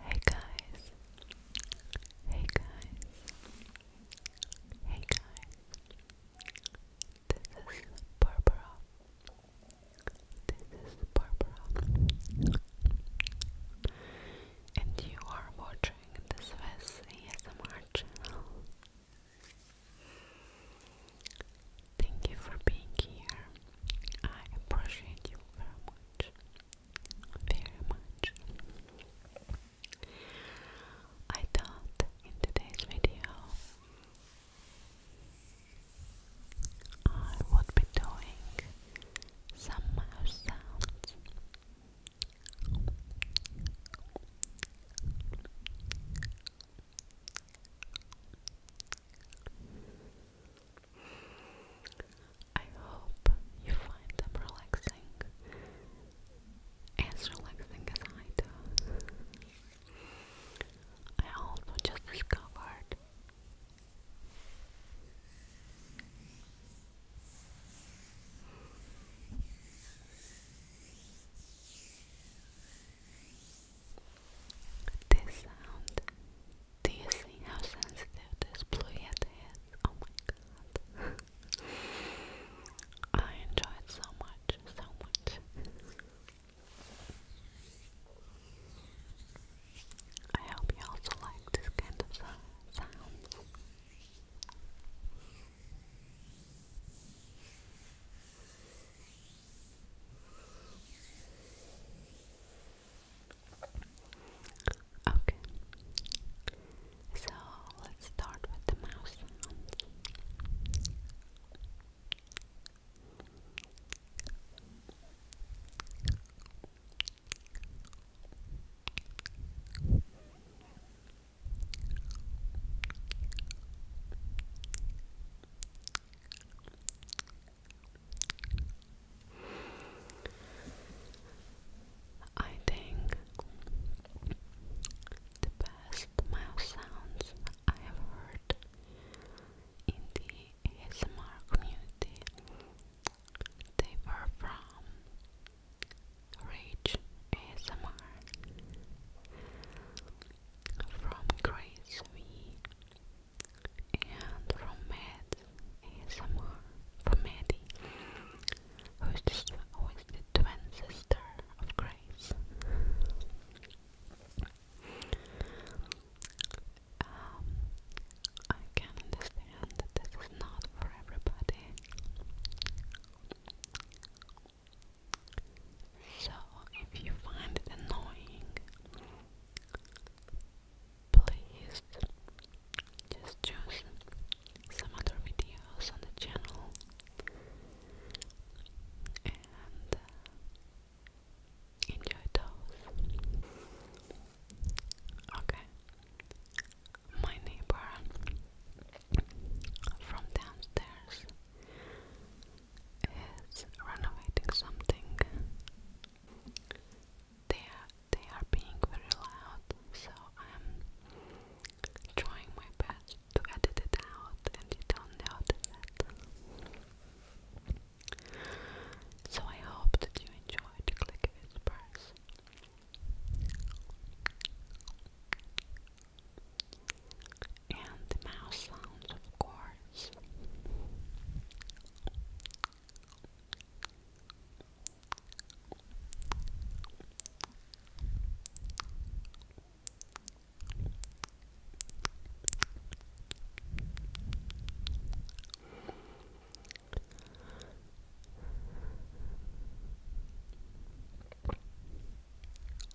Hey guys. Hey guys. Hey guys. This is Barbara. This is Barbara. And you are watching this Swiss ASMR channel. Thank you for being here. I appreciate you very much. Very much. I thought in today's video I would be doing some mouse sounds. I hope you find them relaxing, as relaxing as I do. I also just discovered this sound. Do you see how sensitive this blue is? Oh my god. I enjoy it so much, so much. I hope you also like this kind of sound. Okay, so let's start with the mouse I think the best mouth sounds I have heard in the ASMR community they were from Rage ASMR from Grace V and from Matt ASMR from Maddie who is, the, who is the twin sister of Grace. Um, I can understand that this is not for everybody. So, if you find it annoying, please just choose some other videos on the channel and uh, enjoy those. Okay, my neighbor from downstairs is renovating something. They they are being very loud, so I'm trying my best to edit it out and you don't notice it. So I hope that you enjoyed Click Whispers and the mouse sounds, of course.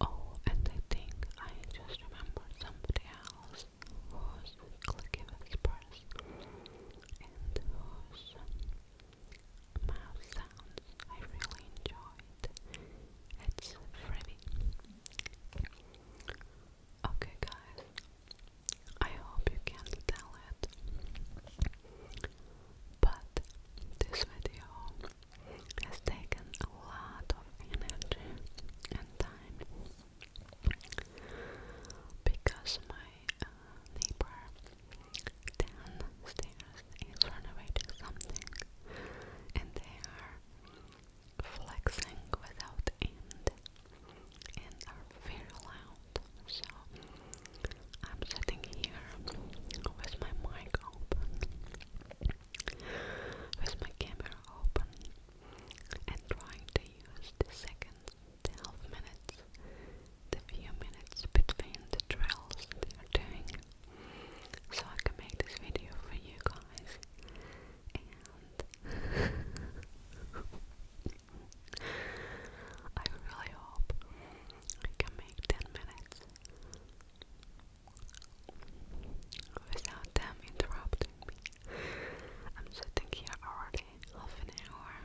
Oh, and I think I just remember somebody else who's clicking his purse and whose mouth sounds I really enjoyed. It's Freddy. Okay, guys, I hope you can tell it. But this video has taken a lot of energy and time because my uh, neighbor downstairs is renovating something and they are flexing without end and are very loud. So I'm sitting here with my mic open, with my camera open, and trying to use the seconds, the half minutes, the few minutes between the drills they are doing so I can make this video for you guys. And I really hope I can make 10 minutes without them interrupting me. I'm sitting here already half an hour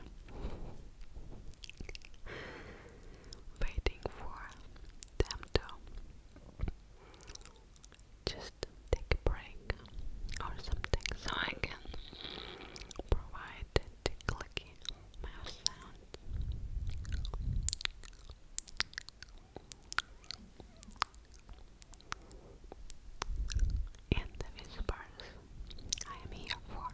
waiting for them to just take a break or something so I can provide the clicky mouse sound. And the whispers I am here for.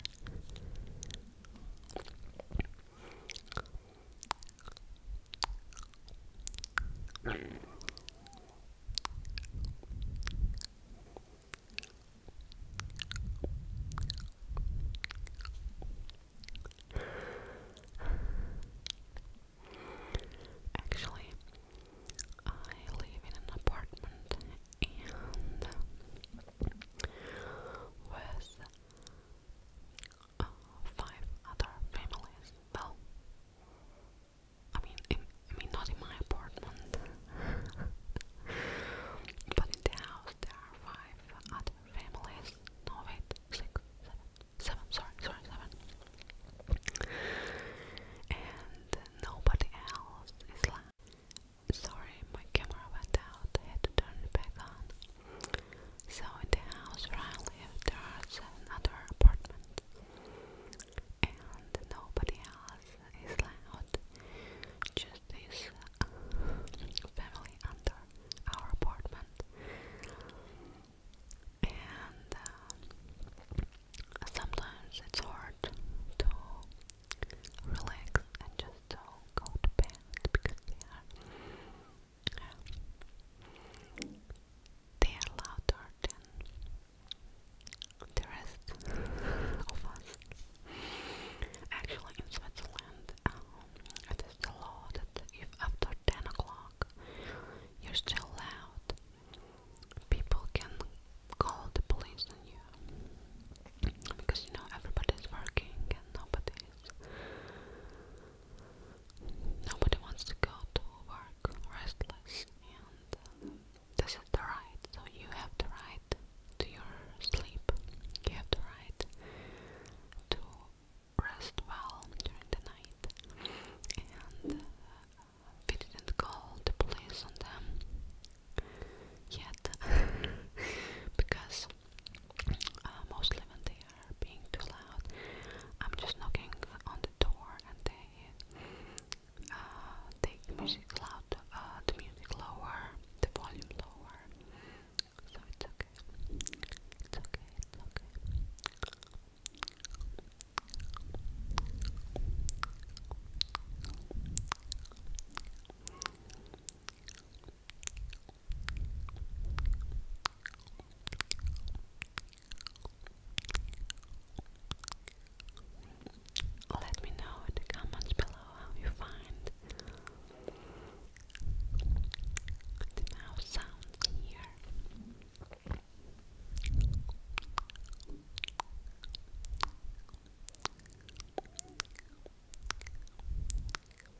Actually, I live in an apartment and with uh, five other families. Well, I mean, I mean, not in my apartment, but in the house there are five other families. No, wait, six, seven, seven. Sorry, sorry, seven. And nobody else is left. Sorry, my camera went out. had to turn it back on. So in the house where I live there's another apartment and nobody else is loud. Just this uh, family under our apartment. And uh, sometimes it's hard to relax and just to go to bed because they are they are louder than the rest of us. Actually, in Switzerland, um, it is the law that if after 10 o'clock you're still loud, people can call the police on you. Because you know, everybody's working and nobody's Nobody wants to go to work restless, and uh, this is the right. So you have the right to your sleep. You have the right to rest well during the night, and uh, we didn't call the police on them yet because uh, mostly when they are being too loud. I'm just knocking on the door and they uh, take music loud, uh, the music lower, the volume lower. So it's okay. It's okay. It's okay. Let me know in the comments below how you find the mouse sounds here.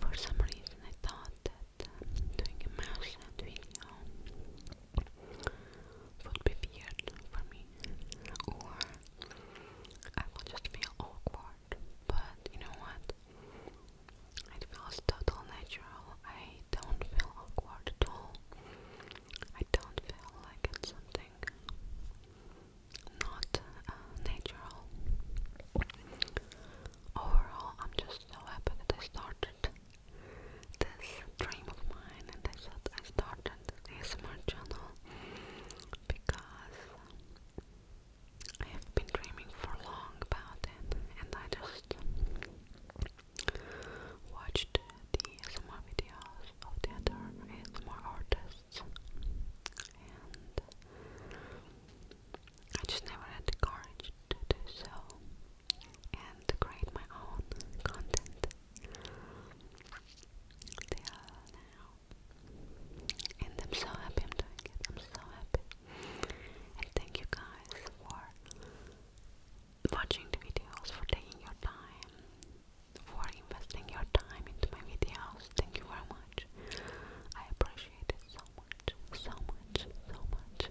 For some reason, I thought that doing a mouse video would be weird for me, or I would just feel awkward. But you know what? It feels totally natural. I don't feel awkward at all. I don't feel like it's something not uh, natural. Overall, I'm just so happy that I started this dream of mine and I thought I started this ASMR channel because I have been dreaming for long about it, and I just watched the ASMR videos of the other ASMR artists, and I just never had the courage to do so and create my own content till now. And I'm so happy I'm doing it. I'm so happy. And thank you guys for watching the videos, for taking your time, for investing your time into my videos. Thank you very much. I appreciate it so much, so much, so much.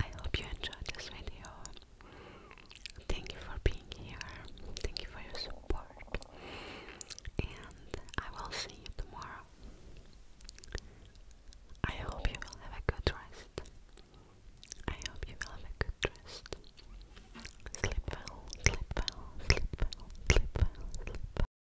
I hope you enjoyed this video. Thank you for being here. Thank you for your support. And I will see you tomorrow. I hope you will have a good rest. I hope you will have a good rest. Sleep well, sleep well, sleep well, sleep well, sleep well.